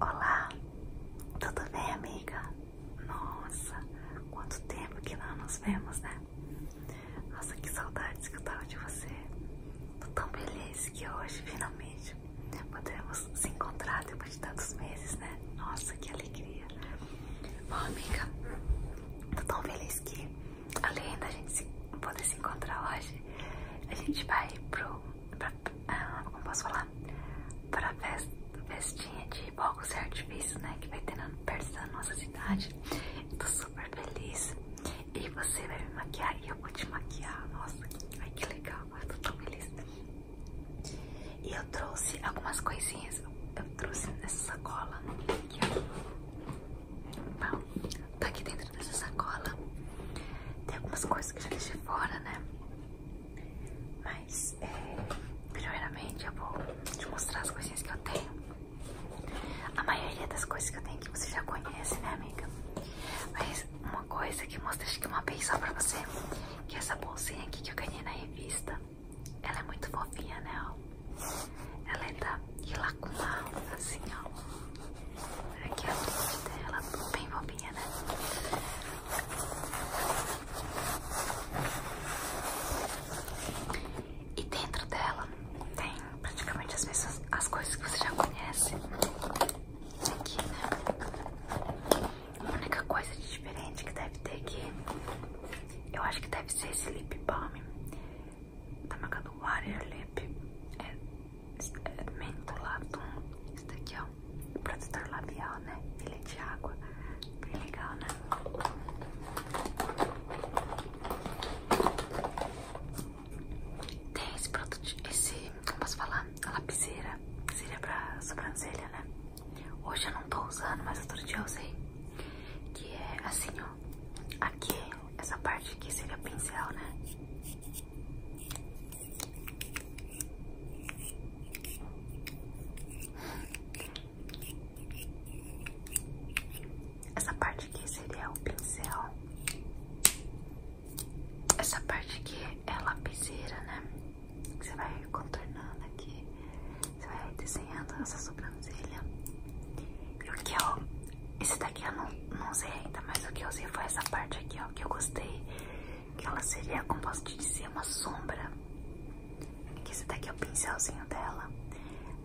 Olá, tudo bem, amiga? Nossa, quanto tempo que não nos vemos, né? Nossa, que saudades que eu tava de você. Tô tão feliz que hoje, finalmente, podemos se encontrar depois de tantos meses, né? Nossa, que alegria. Bom, amiga, tô tão feliz que, além da gente poder se encontrar hoje, a gente vai pro como posso falar? Pra fest, festinha de fogos e artifícios, né? Que vai ter na perto da nossa cidade. Tô super feliz. E você vai me maquiar e eu vou te maquiar. Nossa, ai que legal, eu tô tão feliz. E eu trouxe algumas coisinhas. Eu trouxe nessa sacola aqui, né, é tá aqui dentro dessa sacola. Tem algumas coisas que já deixei fora, né? Mas, é, primeiramente, eu vou te mostrar as coisinhas que eu tenho. A maioria das coisas que eu tenho que você já conhece, né, amiga? Mas uma coisa que eu mostrei acho uma vez só pra você, que essa bolsinha aqui que eu ganhei na revista. Ela é muito fofinha, né, ó? Ela é da Ilacuma, assim, ó. Aqui é a dúvida, ela bem bobinha, né? E dentro dela tem praticamente as mesmas as coisas que você já conhece. Aqui, né? A única coisa de diferente que deve ter aqui, eu acho que deve ser esse lip balm da tá marca do Water Lip. É mentolatum, isso daqui ó, é o protetor labial, né? Ele é de água, bem legal, né? Tem esse produto, esse, como posso falar? A lapiseira, seria é pra sobrancelha, né? Hoje eu não tô usando, mas outro dia eu usei. Que é assim, ó. Aqui, essa parte aqui seria pincel, né? Essa parte aqui seria o pincel. Essa parte aqui é lapiseira, né? Você vai contornando aqui, você vai desenhando essa sobrancelha. E o que eu é esse daqui eu não, não usei ainda, mas o que eu usei foi essa parte aqui, ó, que eu gostei. Que ela seria, como posso te dizer, uma sombra. esse daqui é o pincelzinho dela.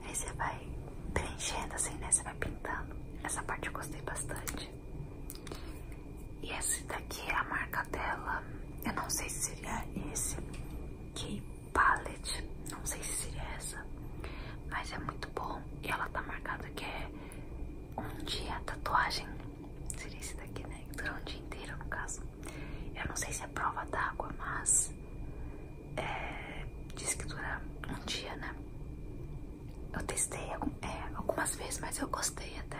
Aí você vai preenchendo assim, né? Você vai pintando. Essa parte eu gostei bastante. E esse daqui é a marca dela. Eu não sei se seria esse. Que palette. Não sei se seria essa. Mas é muito bom. E ela tá marcada que é um dia tatuagem seria esse daqui, né? Durou um dia inteiro, no caso. Eu não sei se é prova d'água, mas é, diz que dura um dia, né? Eu testei é, algumas vezes, mas eu gostei até.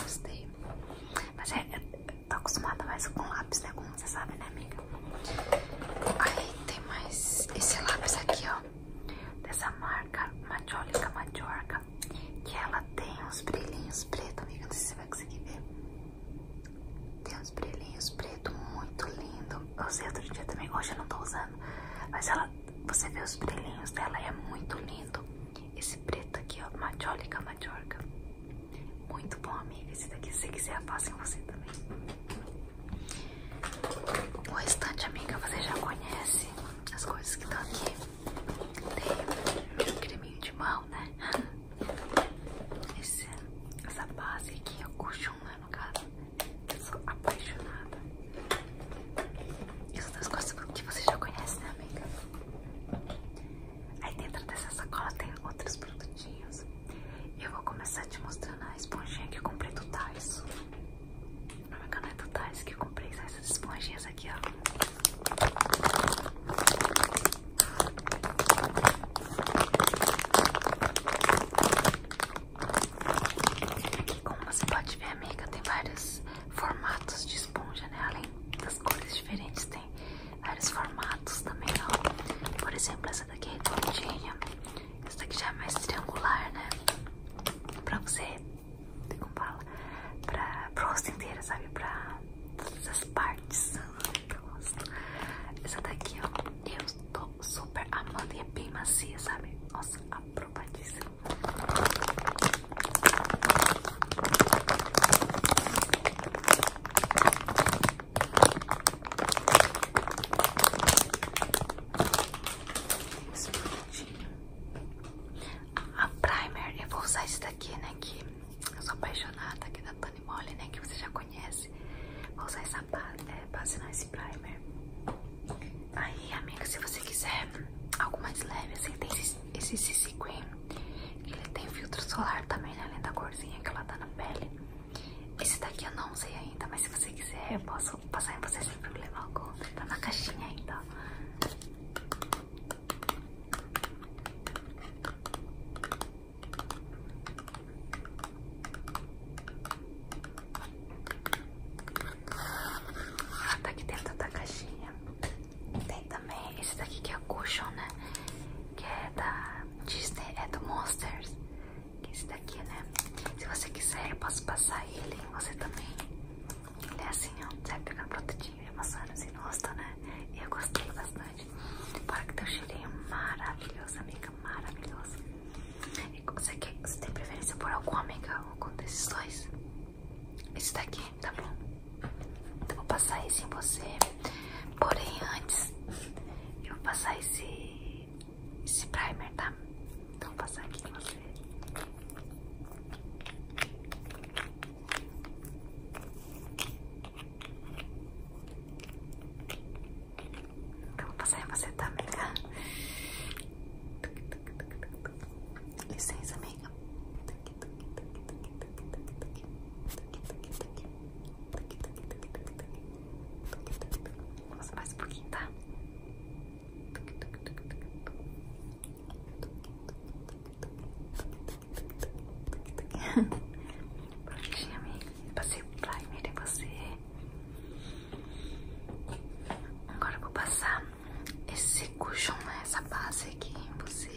Gostei. Mas é, é, tô acostumada mais com lápis, né? Como você sabe, né, amiga? Aí tem mais esse lápis aqui, ó dessa marca Majólica Majorca, que ela tem uns brilhinhos pretos, amiga, não sei se você vai conseguir ver. Tem uns brilhinhos pretos muito lindo. Eu usei outro dia também, hoje eu não tô usando, mas ela, você vê os brilhinhos dela, é muito lindo. Esse preto aqui, ó, Majólica Majorca. Muito bom, amiga. Esse daqui, se quiser, faça em você também. O restante, amiga, você já conhece as coisas que estão aqui. Tem um creminho de mão, né? essa base aqui é o colchão, né? No caso, eu sou apaixonada. Isso das coisas que você já conhece, né, amiga? Aí dentro dessa sacola tem outros produtinhos. Eu vou começar a te mostrar a esponjinha que eu comprei do Thais. A é caneta Thais que eu comprei essas esponjinhas aqui, ó. como você pode ver, amiga, tem vários formatos de esponja, né? Além das cores diferentes, tem vários formatos também, ó. Por exemplo, essa daqui é redondinha. Essa daqui já é mais triangular, né? Pra você, como fala, pra, pra rosto inteira, sabe? Pra todas as partes do rosto. Essa daqui, ó, eu tô super amando e é bem macia, sabe? Nossa, aprovadíssima a primer, eu vou usar esse daqui, né? Que eu sou apaixonada aqui da Tony Moly, né? Que você já conhece. Vou usar essa base, é, base não, esse primer. Aí, amiga, se você quiser algo mais leve, assim, tem esse, esse CC Cream. Ele tem filtro solar também, né? Além da corzinha que ela dá na pele. Esse daqui eu não sei ainda, mas se você quiser eu posso passar em você sem problema algum. Tá na caixinha ainda. Ah, tá aqui dentro da caixinha. Tem também esse daqui que é o Cushion, né? Que é da Disney, é do Monsters. Esse daqui, né? Se você quiser, eu posso passar ele em você também. Ele é assim, ó. você Sai um produtinho e amassando assim no rosto, né? E eu gostei bastante. Para que um cheirinho maravilhoso, amiga. Maravilhoso. E você, quer, você tem preferência por algum, amiga? Algum desses dois? Esse daqui, tá bom? Então, vou passar esse em você. Porém, antes, eu vou passar esse esse primer, tá? Então vou passar aqui em você. Então vou passar em você também, tá? Licença, amiga. Vamos mais um pouquinho, tá? Prontinho, amiga. Passei o primer em você. Agora eu vou passar esse cushion, né? Essa base aqui em você.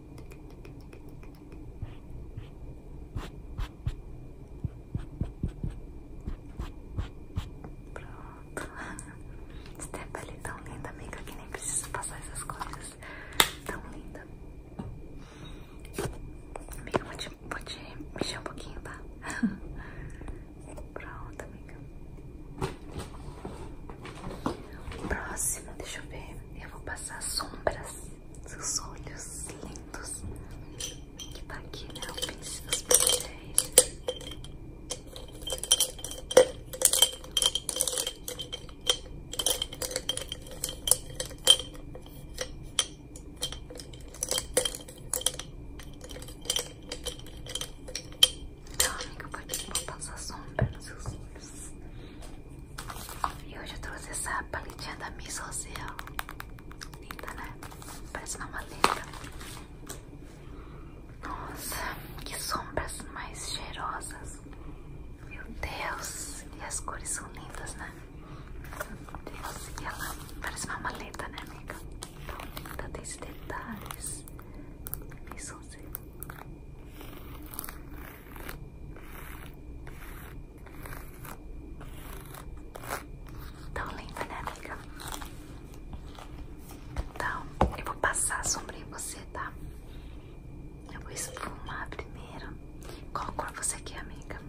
Pronto. Você tem a pele tão linda, amiga, que nem precisa passar essas coisas. Tão linda. Amiga, vou te, mexer um pouquinho, tá? Pronto, amiga. O próximo, deixa eu ver. Eu vou passar sombras dos olhos lindos. Que tá aqui, né? O pincel dos pincéis. Então, amiga, pode vou passar sombra nos seus olhos. E hoje eu trouxe essa paletinha da Miss Social. Linda, né? Parece uma maleta. Nossa, que sombras mais cheirosas. Meu Deus, e as cores são lindas, né? Meu Deus, ela parece uma maleta, né, amiga? Tão linda, tem esses detalhes. Miss Social. Tão linda, né, amiga? Então, eu vou passar a sombra em você, tá? Eu vou esfumar primeiro. Qual cor você quer, amiga?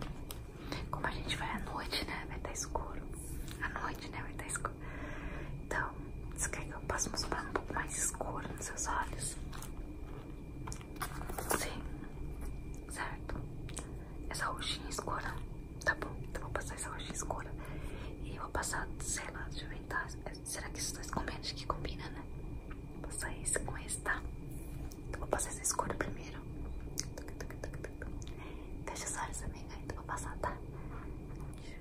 Como a gente vai à noite, né? Vai estar tá escuro. À noite, né? Vai estar tá escuro. Então, você quer que eu passe uma sombra um pouco mais escura nos seus olhos? Sim, certo. Essa roxinha escura, tá bom, então vou passar essa roxinha escura. E vou passar, sei lá, de eu é, Será que esses dois combinam? Acho que combina, né? Vou passar esse com esse, tá? Então vou passar essa escura primeiro. deixa os olhos também, né? Então vou passar, tá? Deixa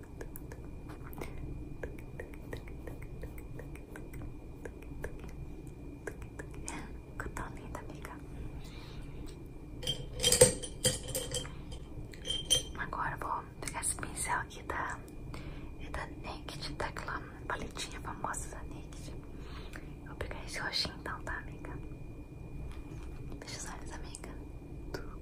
Ficou tão linda, amiga. Agora vou pegar esse pincel aqui da, é da Naked, daquela tá palitinha famosa da Naked. Vou pegar esse roxinho então, tá, amiga? Deixa os olhos, amiga.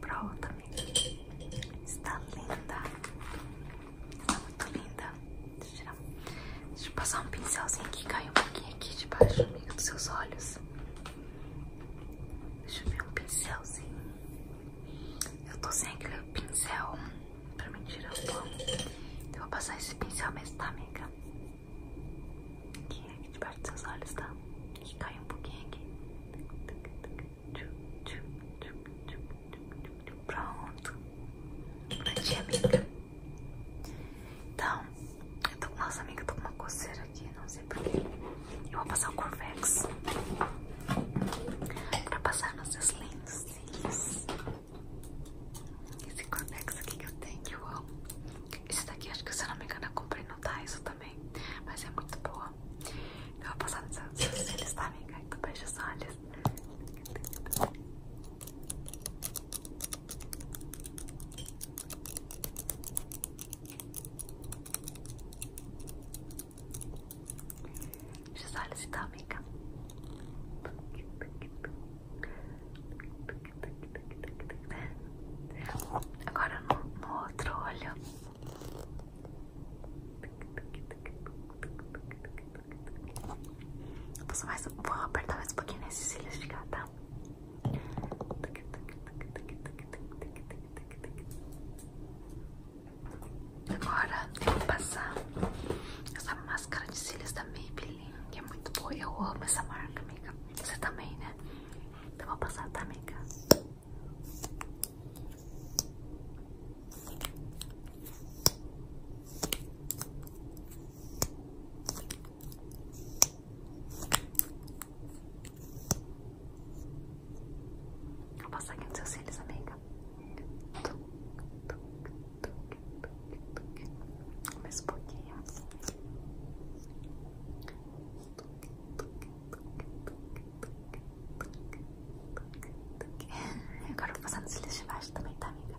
Pro também. Está linda. Está muito linda. Deixa eu, passar um pincelzinho aqui caiu um pouquinho aqui debaixo amigo, dos seus olhos. Deixa eu ver um pincelzinho. Eu tô sem aquele pincel para me tirar o pão. eu vou passar esse pincel mesmo, tá, amiga? Aqui, aqui debaixo dos seus olhos, tá? aqui, cai um pouquinho aqui. Pronto. Prontinho, amiga. Então, eu tô, nossa amiga, eu tô com uma coceira aqui, não sei porquê. Eu vou passar o Corvex pra passar nos seus lindos cílios. Esse Corvex aqui que eu tenho, que eu amo. Esse daqui, acho que se eu não me engano, eu comprei no Daiso também mas é muito boa. Eu vou passar nos eles também, tá, caindo baixo os olhos. Os olhos então, amiga. Agora no, outro olho. Vou, apertar mais um pouquinho nesses cílios de gata. Agora eu vou passar essa máscara de cílios da Maybelline, que é muito boa. Eu amo essa marca, amiga. Você também, né? Então vou passar pra minha casa. Vou passar aqui nos seus cílios, amiga. Tuc, tuc, tuc, tuc, tuc. Mais um pouquinho. Tuc, é, agora eu vou passar nos cílios de baixo também, tá, amiga?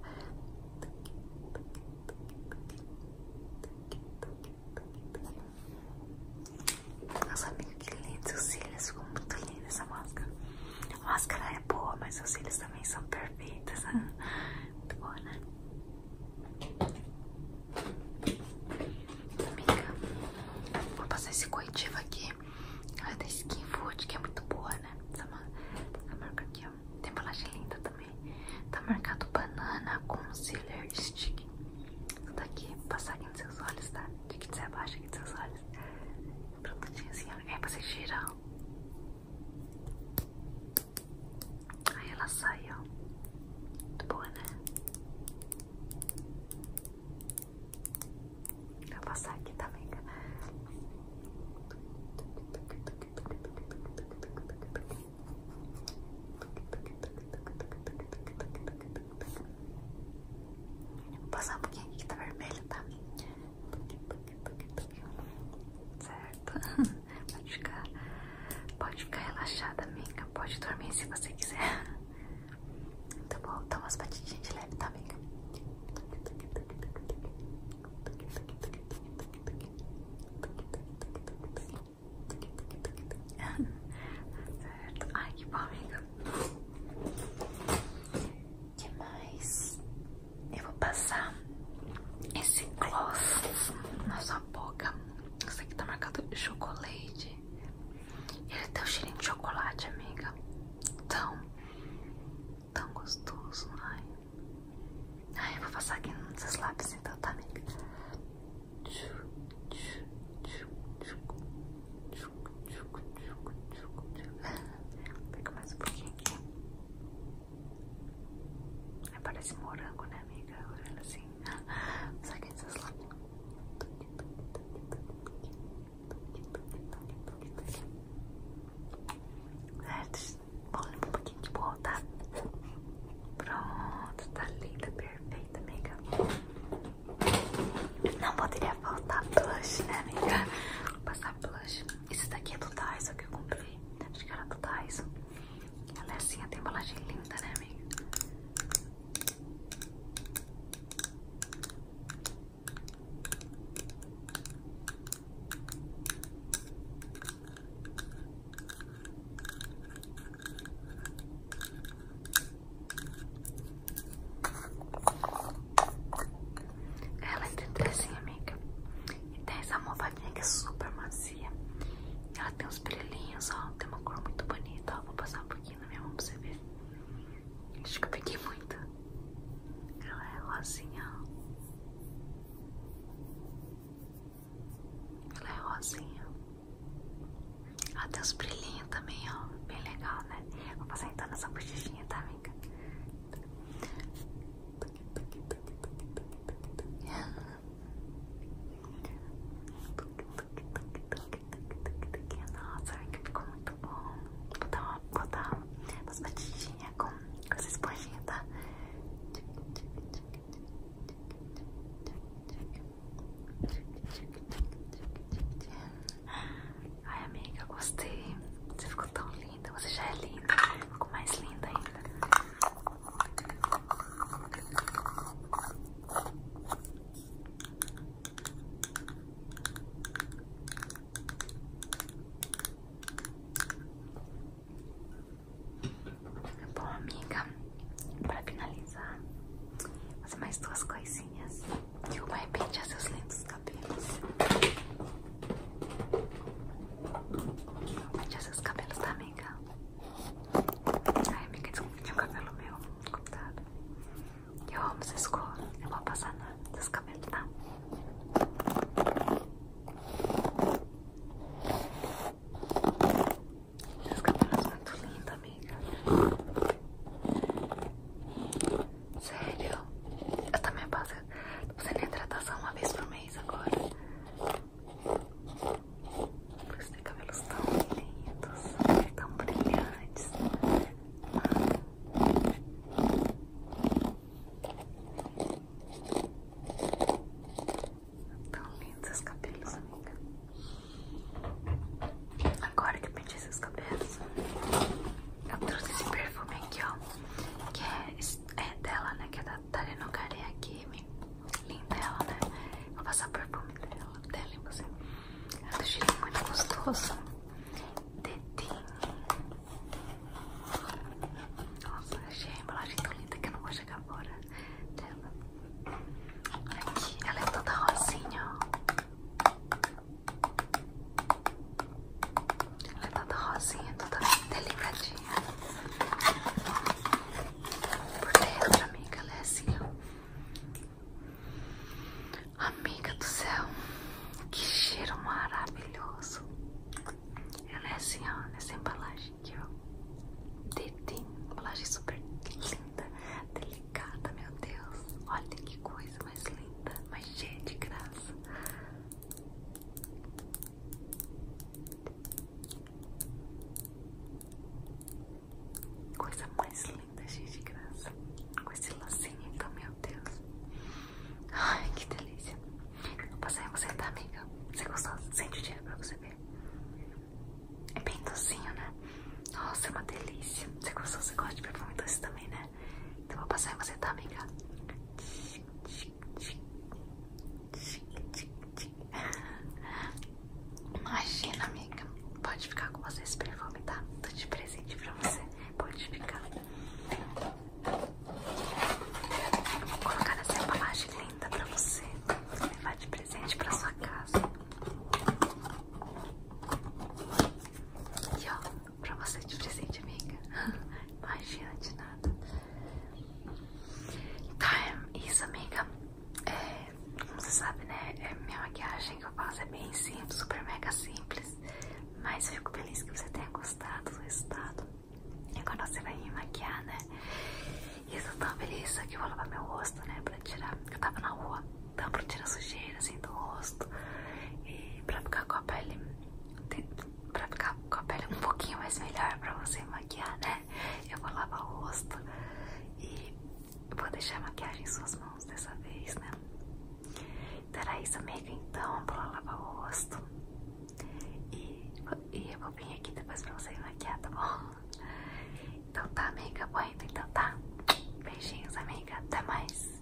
Nossa, amiga, que lindo. Os cílios ficam muito lindos essa máscara. A máscara é boa, mas os cílios também são perfeitos. Né? Muito boa, né? Amiga, vou passar esse corretivo aqui. É da Skin Food, que é muito boa, né? Essa, tá essa tá marca aqui, ó. Tem embalagem linda também. Tá marcado banana concealer stick. Isso daqui, passar aqui nos seus olhos, tá? De que você abaixa aqui nos seus olhos. um Prontinho assim, ó. É pra você girar, ó. Aí ela sai, ó. Muito boa, né? Vou passar aqui também. Vou passar um pouquinho aqui que tá vermelho, tá? Certo. Pode ficar, pode ficar relaxada, amiga. Pode dormir se você quiser. Tá bom? Dá umas batidinhas de leve, tá, amiga? Certo. Ai, que bom, amiga. demais Eu vou passar esse gloss na sua boca. Esse aqui tá marcado chocolate. Ele tem o cheirinho de chocolate, amiga. Tão, tão gostoso. Ai, ai eu vou passar aqui nos seus lápis então, tá, amiga? Pega mais um pouquinho aqui. É, parece morango, né, amiga? Olha assim. Só que isso lábios. Certo? Vamos limpar um pouquinho de boa, Pronto, tá linda, perfeita, amiga. Não poderia faltar blush, né, amiga? Vou passar blush. Esse daqui é do Thais, que eu comprei. Acho que era do Thais. Ela é assim, tem embalagem linda, né, amiga? Ela é de 13, amiga. E tem essa almofadinha que é super macia ela tem uns brilhinhos, ó. Tem uma cor muito bonita, ó. Vou passar um pouquinho na minha mão pra você ver. Acho que eu peguei muito. Ela é rosinha, ó. Ela é rosinha. Ela tem uns brilhinhos também, ó. Bem legal, né? Vou passar então nessa bochechinha, tá, amiga? Tá. Nossa, que ficou muito bom. Vou dar umas batidinhas com, essa esponjinha, tá? Ai, amiga, gostei. Você ficou tão linda. Você já é linda. Ficou mais linda ainda. Bom, amiga, para finalizar, fazer mais duas coisinhas. Derrubar arrepentir seus lindos cabelos. Mete esses cabelos da amiga. Ai, amiga, desculpa, tinha um cabelo meu no Eu amo essa escola. Eu vou passar na, nesses cabelos, tá? Esses cabelos são muito lindos, amiga. Sério? Eu também passo. Você nem hidratação uma vez por mês agora. Por isso tem cabelos tão lindos, tão brilhantes. Tão lindos esses cabelos, amiga. Agora que eu pedi esses cabelos, eu trouxe esse perfume aqui, ó. Que é esse é dela, né? Que é da Tarino Kareakimi. Linda ela, né? Vou passar o perfume dela, dela em você. É um cheirinho muito gostoso. Dedinho. Nossa, achei a embalagem tão linda que eu não vou chegar fora dela. Aqui, ela é toda rosinha, ó. Ela é toda rosinha, toda delicadinha. Por dentro, amiga, ela é né, assim, ó. Amiga do céu, que cheiro maravilhoso. Ela é assim, ó, nessa é embalagem aqui, ó. Dedinho, embalagem super linda, delicada, meu Deus. Olha que coisa mais linda, mais cheia de graça. Coisa mais linda, cheia de graça. Com esse lacinho, então, meu Deus. Ai, que delícia. Vou passar em você, tá, amiga? Você gostou? Sente o dinheiro pra você ver. É bem docinho, né? Nossa, é uma delícia. Você gostou? Você gosta de perfume doce também, né? né? vou passar em você, tá, amiga? Imagina, amiga. Pode ficar com você esse perfume, tá? Tô de presente pra você. Pode ficar. Vou colocar nessa embalagem linda pra você. levar de presente pra sua casa. E ó, pra você de presente, amiga. Imagina de nada. Tá, é isso, amiga. É, como você sabe, né? É minha maquiagem que eu faço é bem simples, super mega simples. Mas eu fico feliz que você tenha gostado do resultado. E agora você vai me maquiar, né? E eu tô tão feliz que eu vou lavar meu rosto, né? Pra tirar. Eu tava na rua, então pra tirar sujeira assim do rosto e pra ficar com a pele pra ficar com a pele um pouquinho mais melhor pra você maquiar, né? Eu vou lavar o rosto e vou deixar a maquiagem em suas mãos dessa vez, né? Então era isso, amiga. Então, vou lavar o rosto e, e eu vou vir aqui depois pra você maquiar, tá bom? Então tá, amiga. Bom, então tá. Beijinhos, amiga. Até mais.